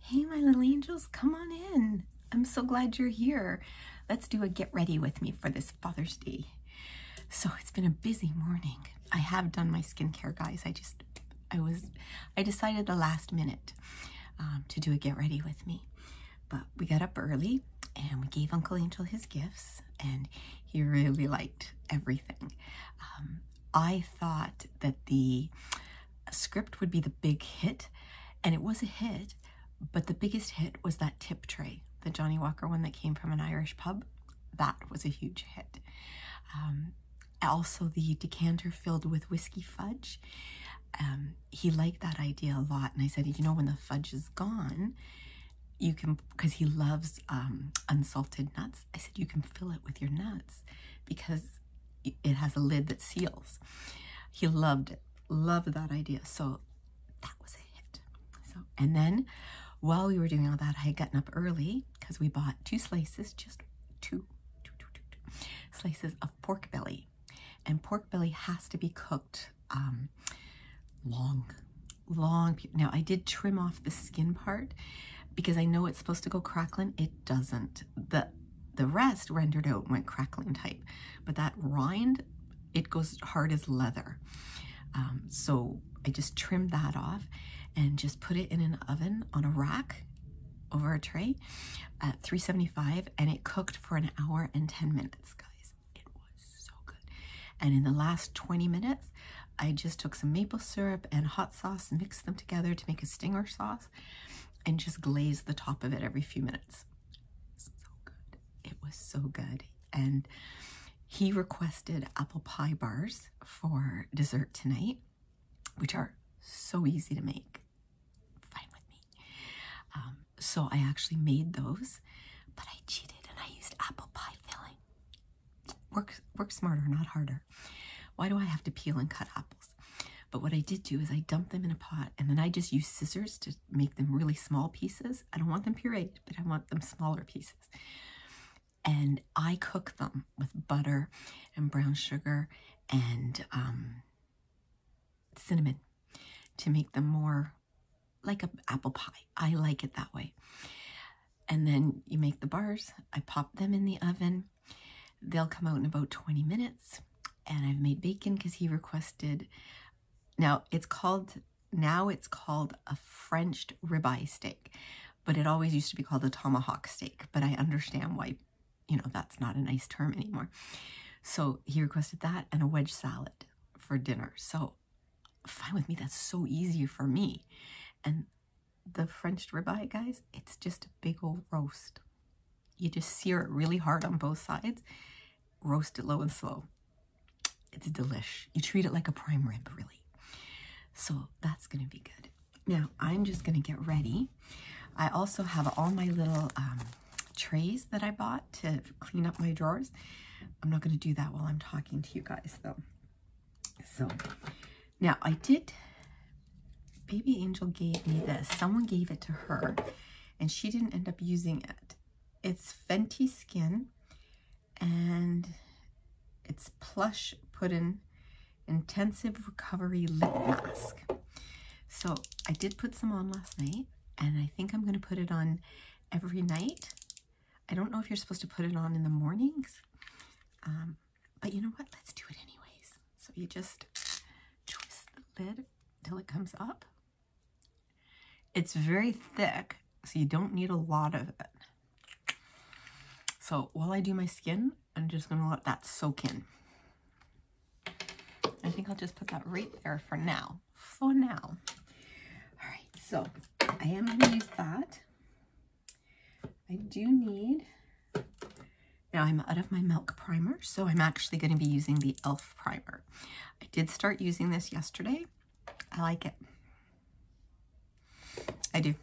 Hey, my little angels, come on in. I'm so glad you're here. Let's do a get ready with me for this Father's Day. So it's been a busy morning. I have done my skincare, guys. I just, I was, I decided the last minute um, to do a get ready with me. But we got up early and we gave Uncle Angel his gifts and he really liked everything. Um, I thought that the script would be the big hit, and it was a hit, but the biggest hit was that tip tray, the Johnny Walker one that came from an Irish pub. That was a huge hit. Um, also, the decanter filled with whiskey fudge. Um, he liked that idea a lot, and I said, you know, when the fudge is gone, you can because he loves um, unsalted nuts. I said you can fill it with your nuts because because it has a lid that seals. He loved it, loved that idea. So that was a hit. So, and then while we were doing all that, I had gotten up early because we bought two slices, just two, two, two, two, two slices of pork belly. And pork belly has to be cooked um, long, long. Now I did trim off the skin part because I know it's supposed to go crackling. It doesn't. The, the rest rendered out went crackling type, but that rind, it goes hard as leather. Um, so I just trimmed that off and just put it in an oven on a rack over a tray at 375 and it cooked for an hour and 10 minutes guys it was so good and in the last 20 minutes I just took some maple syrup and hot sauce, mixed them together to make a stinger sauce, and just glazed the top of it every few minutes. So good. It was so good. And he requested apple pie bars for dessert tonight, which are so easy to make. Fine with me. Um, so I actually made those, but I cheated and I used apple pie filling. Work, work smarter, not harder. Why do I have to peel and cut apples? But what I did do is I dumped them in a pot and then I just used scissors to make them really small pieces. I don't want them pureed, but I want them smaller pieces. And I cook them with butter and brown sugar and um, cinnamon to make them more like an apple pie. I like it that way and then you make the bars. I pop them in the oven. They'll come out in about 20 minutes. And I've made bacon because he requested. Now it's called, now it's called a French ribeye steak, but it always used to be called a tomahawk steak. But I understand why, you know, that's not a nice term anymore. So he requested that and a wedge salad for dinner. So fine with me. That's so easy for me. And the French ribeye, guys, it's just a big old roast. You just sear it really hard on both sides, roast it low and slow. It's delish. You treat it like a prime rib, really. So that's going to be good. Now, I'm just going to get ready. I also have all my little um, trays that I bought to clean up my drawers. I'm not going to do that while I'm talking to you guys, though. So now, I did, Baby Angel gave me this. Someone gave it to her, and she didn't end up using it. It's Fenty Skin, and it's Plush Puddin Intensive Recovery Lip Mask. So I did put some on last night, and I think I'm going to put it on every night. I don't know if you're supposed to put it on in the mornings. Um, but you know what? Let's do it anyways. So you just twist the lid till it comes up. It's very thick, so you don't need a lot of it. So while I do my skin, I'm just going to let that soak in. I think I'll just put that right there for now. For now. All right, so I am going to use that. I do need, now I'm out of my milk primer, so I'm actually going to be using the e.l.f. primer. I did start using this yesterday. I like it. I do.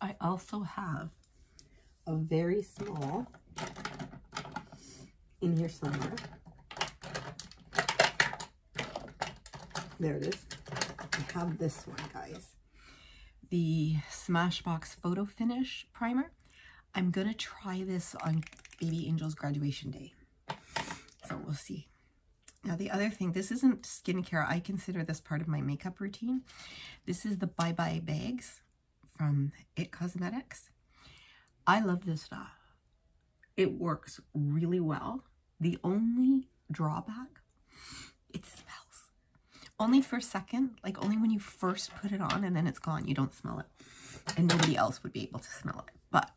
I also have a very small in here somewhere. There it is. I have this one, guys. The Smashbox Photo Finish Primer. I'm going to try this on Baby Angel's graduation day. So we'll see. Now the other thing, this isn't skincare. I consider this part of my makeup routine. This is the Bye Bye Bags from It Cosmetics. I love this stuff. It works really well. The only drawback, it smells. Only for a second, like only when you first put it on and then it's gone, you don't smell it. And nobody else would be able to smell it. But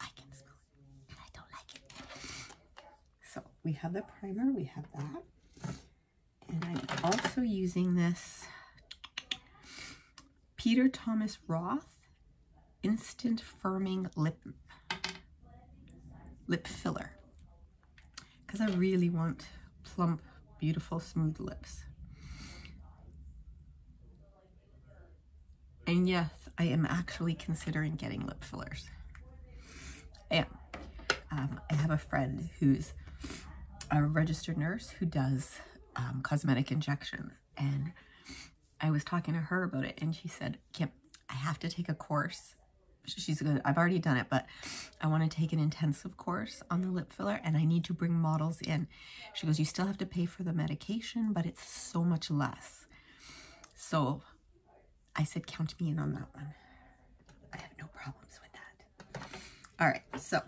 I can smell it and I don't like it. So we have the primer, we have that. And I'm also using this Peter Thomas Roth Instant Firming Lip, lip Filler because I really want plump, beautiful, smooth lips. And yes, I am actually considering getting lip fillers. Yeah, um, I have a friend who's a registered nurse who does um, cosmetic injections and I was talking to her about it and she said, Kim, I have to take a course. She's good. I've already done it, but I want to take an intensive course on the lip filler and I need to bring models in. She goes, you still have to pay for the medication, but it's so much less. So I said, count me in on that one. I have no problems with that. All right, so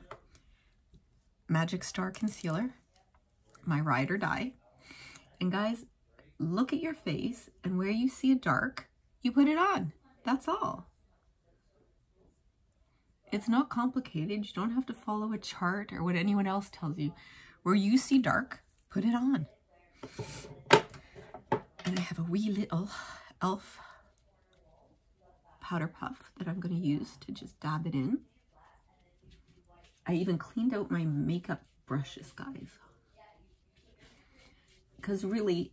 Magic Star Concealer, my Ride or Die. And guys, look at your face and where you see a dark, you put it on. That's all. It's not complicated. You don't have to follow a chart or what anyone else tells you. Where you see dark, put it on. And I have a wee little e.l.f. powder puff that I'm going to use to just dab it in. I even cleaned out my makeup brushes, guys. Because really,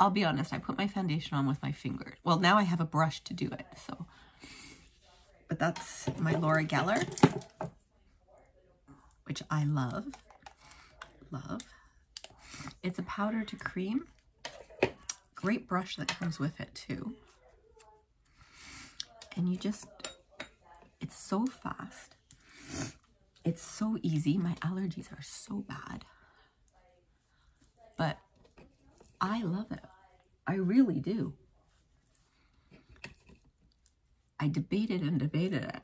I'll be honest, I put my foundation on with my finger. Well, now I have a brush to do it, so. But that's my Laura Geller, which I love, love. It's a powder to cream. Great brush that comes with it too. And you just, it's so fast. It's so easy. My allergies are so bad. But I love it. I really do. I debated and debated it.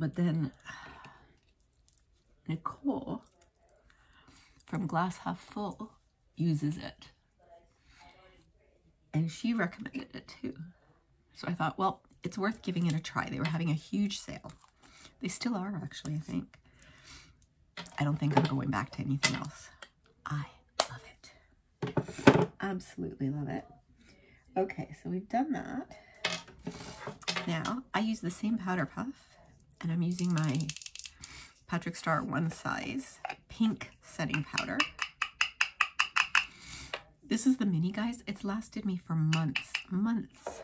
But then Nicole from Glass Half Full uses it. And she recommended it too. So I thought, well, it's worth giving it a try. They were having a huge sale. They still are, actually, I think. I don't think I'm going back to anything else. I love it. Absolutely love it. Okay, so we've done that. Now, I use the same powder puff and I'm using my Patrick Star One Size Pink Setting Powder. This is the mini, guys. It's lasted me for months, months.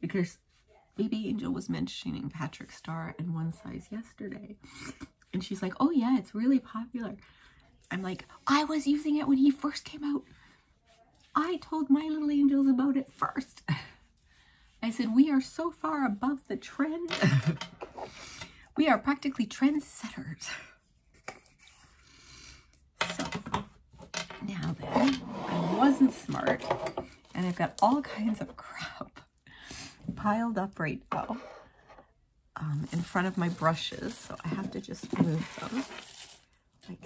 Because Baby Angel was mentioning Patrick Star and One Size yesterday. And she's like, oh yeah, it's really popular. I'm like, I was using it when he first came out. I told my little angels about it first. I said, we are so far above the trend. we are practically trendsetters. So, now then, I wasn't smart, and I've got all kinds of crap piled up right now um, in front of my brushes, so I have to just move them. Okay,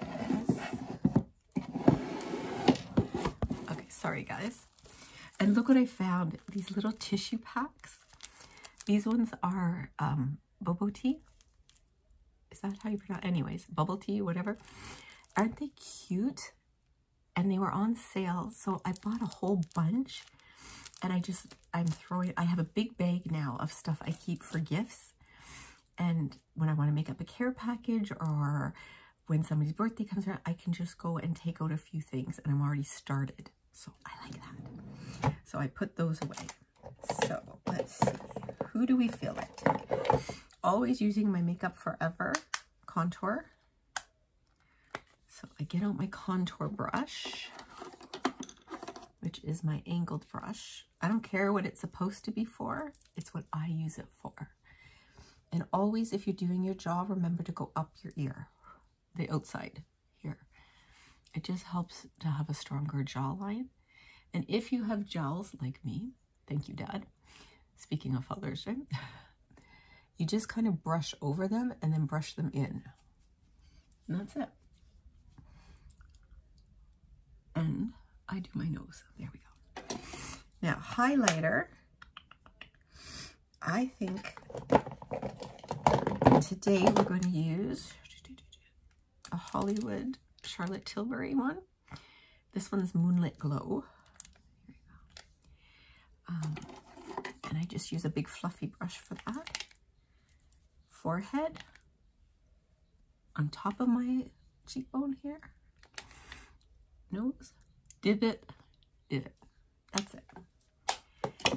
sorry guys. And look what I found, these little tissue packs. These ones are um, bobo tea. Is that how you pronounce Anyways, bubble tea, whatever. Aren't they cute? And they were on sale, so I bought a whole bunch. And I just I'm throwing, I have a big bag now of stuff I keep for gifts. And when I want to make up a care package or when somebody's birthday comes around, I can just go and take out a few things and I'm already started. So I like that. So I put those away. So let's see, who do we fill it? Always using my Makeup Forever contour. So I get out my contour brush, which is my angled brush. I don't care what it's supposed to be for. It's what I use it for. And always, if you're doing your jaw, remember to go up your ear, the outside here. It just helps to have a stronger jawline. And if you have jowls like me, thank you, Dad. Speaking of fathers, right? You just kind of brush over them and then brush them in. And that's it. And I do my nose. There we go. Now, highlighter. I think today we're going to use a Hollywood Charlotte Tilbury one. This one's Moonlit Glow. Um, and I just use a big fluffy brush for that forehead, on top of my cheekbone here, nose, it, divot, it. That's it.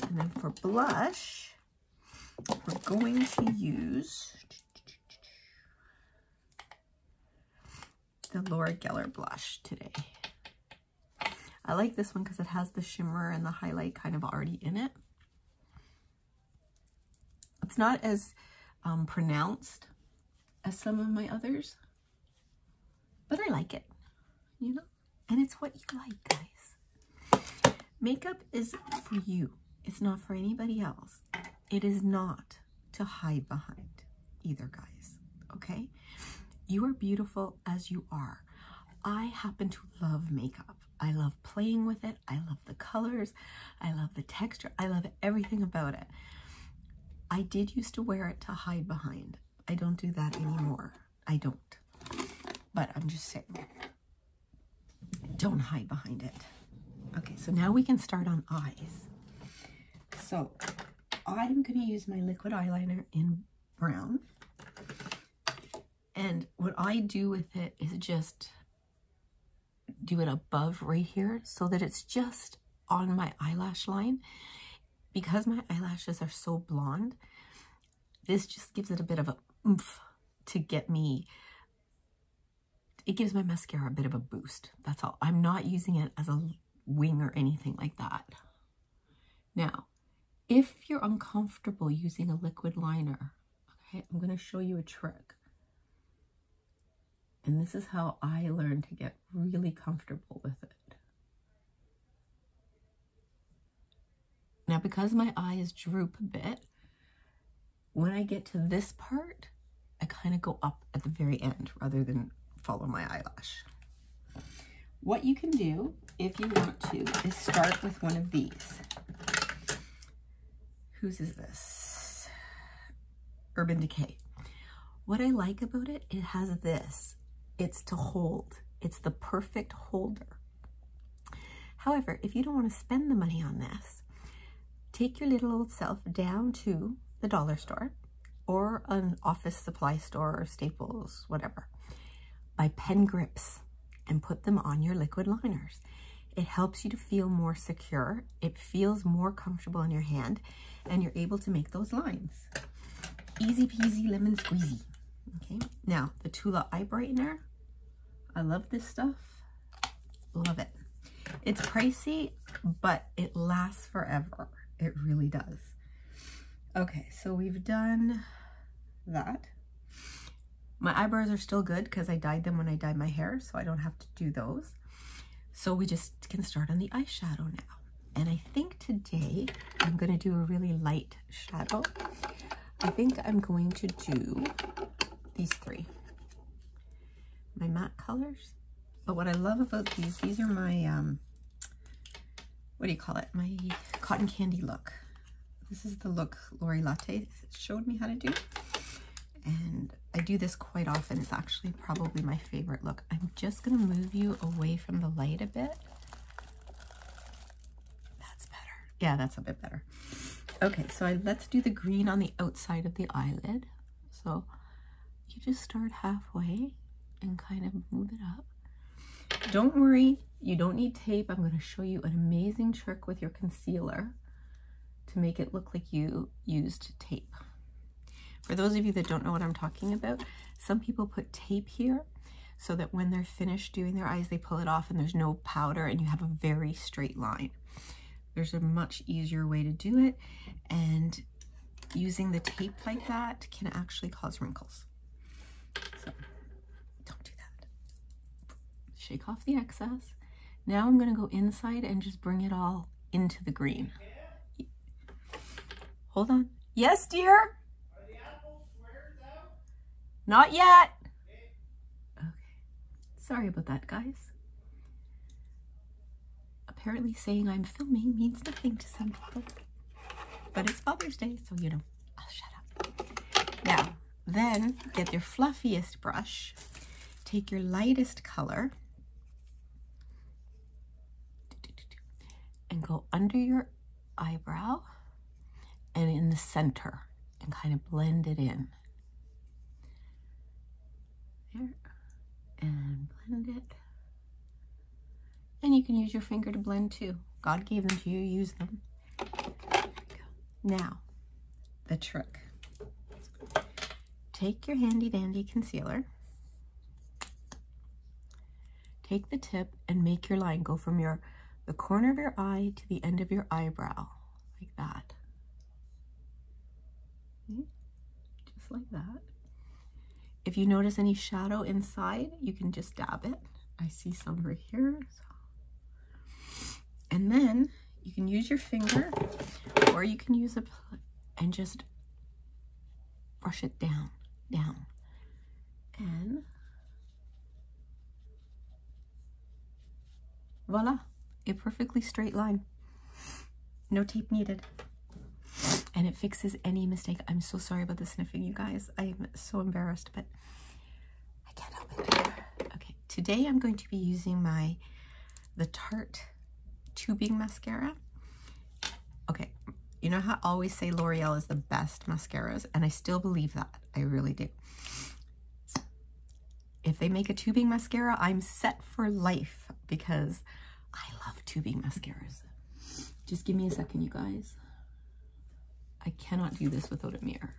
And then for blush, we're going to use the Laura Geller blush today. I like this one because it has the shimmer and the highlight kind of already in it. It's not as um, pronounced as some of my others, but I like it, you know? And it's what you like, guys. Makeup is for you. It's not for anybody else. It is not to hide behind either, guys, okay? You are beautiful as you are. I happen to love makeup. I love playing with it. I love the colors. I love the texture. I love everything about it. I did used to wear it to hide behind. I don't do that anymore. I don't. But I'm just saying, don't hide behind it. Okay, so now we can start on eyes. So I'm going to use my liquid eyeliner in brown. And what I do with it is just do it above right here so that it's just on my eyelash line. Because my eyelashes are so blonde, this just gives it a bit of a oomph to get me, it gives my mascara a bit of a boost. That's all. I'm not using it as a wing or anything like that. Now, if you're uncomfortable using a liquid liner, okay, I'm going to show you a trick. And this is how I learned to get really comfortable with it. Now, because my eyes droop a bit, when I get to this part, I kind of go up at the very end rather than follow my eyelash. What you can do, if you want to, is start with one of these. Whose is this? Urban Decay. What I like about it, it has this. It's to hold. It's the perfect holder. However, if you don't want to spend the money on this, take your little old self down to the dollar store or an office supply store or Staples, whatever. Buy pen grips and put them on your liquid liners. It helps you to feel more secure. It feels more comfortable in your hand and you're able to make those lines. Easy peasy lemon squeezy. Okay, now the Tula Eye Brightener. I love this stuff. Love it. It's pricey, but it lasts forever. It really does. Okay, so we've done that. My eyebrows are still good because I dyed them when I dyed my hair, so I don't have to do those. So we just can start on the eyeshadow now. And I think today I'm going to do a really light shadow. I think I'm going to do these three. My matte colors. But what I love about these, these are my um, what do you call it? My cotton candy look. This is the look Lori Latte showed me how to do. And I do this quite often. It's actually probably my favorite look. I'm just going to move you away from the light a bit. That's better. Yeah, that's a bit better. Okay, so I, let's do the green on the outside of the eyelid. So you just start halfway and kind of move it up. Don't worry, you don't need tape. I'm going to show you an amazing trick with your concealer to make it look like you used tape. For those of you that don't know what I'm talking about, some people put tape here so that when they're finished doing their eyes, they pull it off and there's no powder and you have a very straight line. There's a much easier way to do it and using the tape like that can actually cause wrinkles. Don't do that. Shake off the excess. Now I'm gonna go inside and just bring it all into the green. Hold on. Yes, dear? Are the apples squared though? Not yet. Okay. Sorry about that, guys. Apparently saying I'm filming means nothing to some people. But it's Father's Day, so you know. Oh, now, then get your fluffiest brush. Take your lightest color. And go under your eyebrow and in the center and kind of blend it in. There. And blend it. And you can use your finger to blend too. God gave them to you, use them. Now, the trick. Take your handy dandy concealer, take the tip and make your line go from your the corner of your eye to the end of your eyebrow, like that. Just like that. If you notice any shadow inside, you can just dab it. I see some right here. And then you can use your finger or you can use a and just brush it down, down. And voila, a perfectly straight line. No tape needed and it fixes any mistake. I'm so sorry about the sniffing, you guys. I'm so embarrassed, but I can't help it. Okay, today I'm going to be using my the Tarte tubing mascara. Okay, you know how I always say L'Oreal is the best mascaras, and I still believe that. I really do. If they make a tubing mascara, I'm set for life because I love tubing mascaras. Just give me a second, you guys. I cannot do this without a mirror.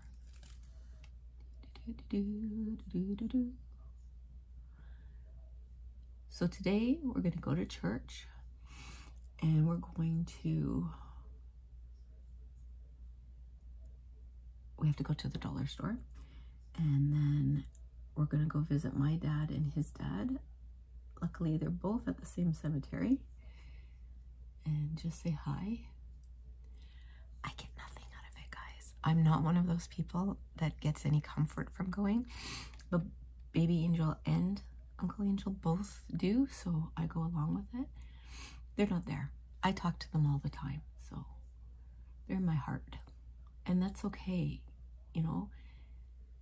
So today we're going to go to church and we're going to, we have to go to the dollar store and then we're going to go visit my dad and his dad Luckily, they're both at the same cemetery. And just say hi. I get nothing out of it, guys. I'm not one of those people that gets any comfort from going. But Baby Angel and Uncle Angel both do, so I go along with it. They're not there. I talk to them all the time, so they're in my heart. And that's okay, you know?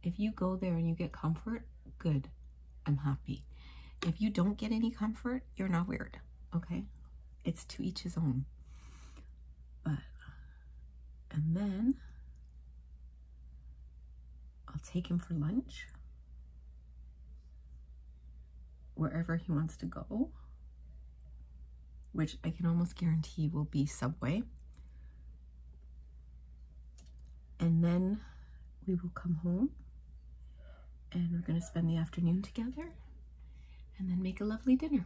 If you go there and you get comfort, good. I'm happy. If you don't get any comfort, you're not weird, okay? It's to each his own. But, and then I'll take him for lunch wherever he wants to go, which I can almost guarantee will be Subway and then we will come home and we're going to spend the afternoon together and then make a lovely dinner.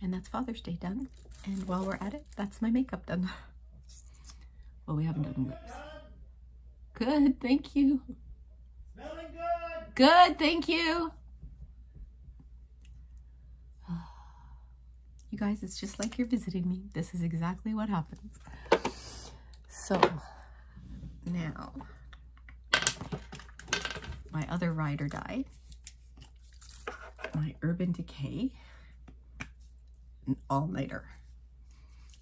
And that's Father's Day done. And while we're at it, that's my makeup done. well, we haven't done lips. Good, thank you. Good, thank you. You guys, it's just like you're visiting me. This is exactly what happens. So now my other ride or die, my Urban Decay, an all-nighter.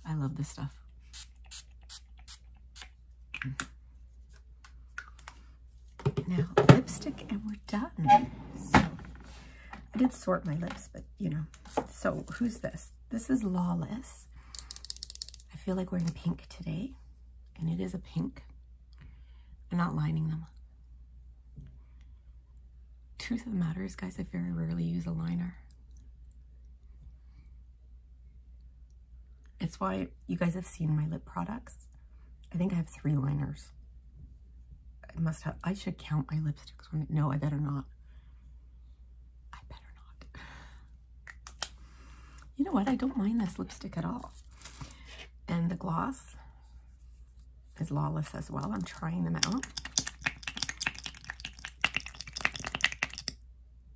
I love this stuff. Now, lipstick and done. Mm-hmm. I did sort my lips, but you know. So who's this? This is Lawless. I feel like wearing pink today, and it is a pink. I'm not lining them. Truth of the guys, I very rarely use a liner. It's why you guys have seen my lip products I think I have three liners. I must have, I should count my lipsticks. When, no, I better not. I better not. You know what? I don't mind this lipstick at all. And the gloss is Lawless as well. I'm trying them out.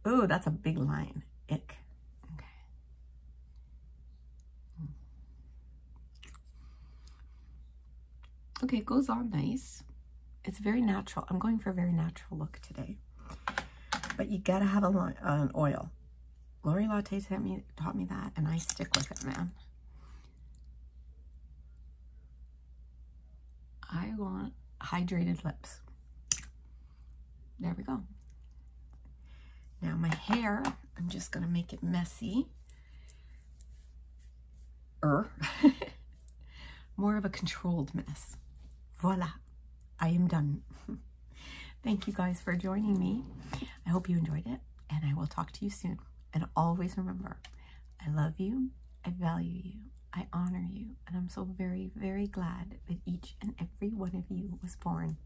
Oh, that's a big line. Ick. Okay. Okay, it goes on nice. It's very natural. I'm going for a very natural look today. But you gotta have a, an oil. Lori Latte taught me, taught me that, and I stick with it, man. I want hydrated lips. There we go. Now my hair, I'm just gonna make it messy er, more of a controlled mess. Voila, I am done. Thank you guys for joining me. I hope you enjoyed it and I will talk to you soon. And always remember, I love you, I value you, I honor you, and I'm so very, very glad that each and every one of you was born.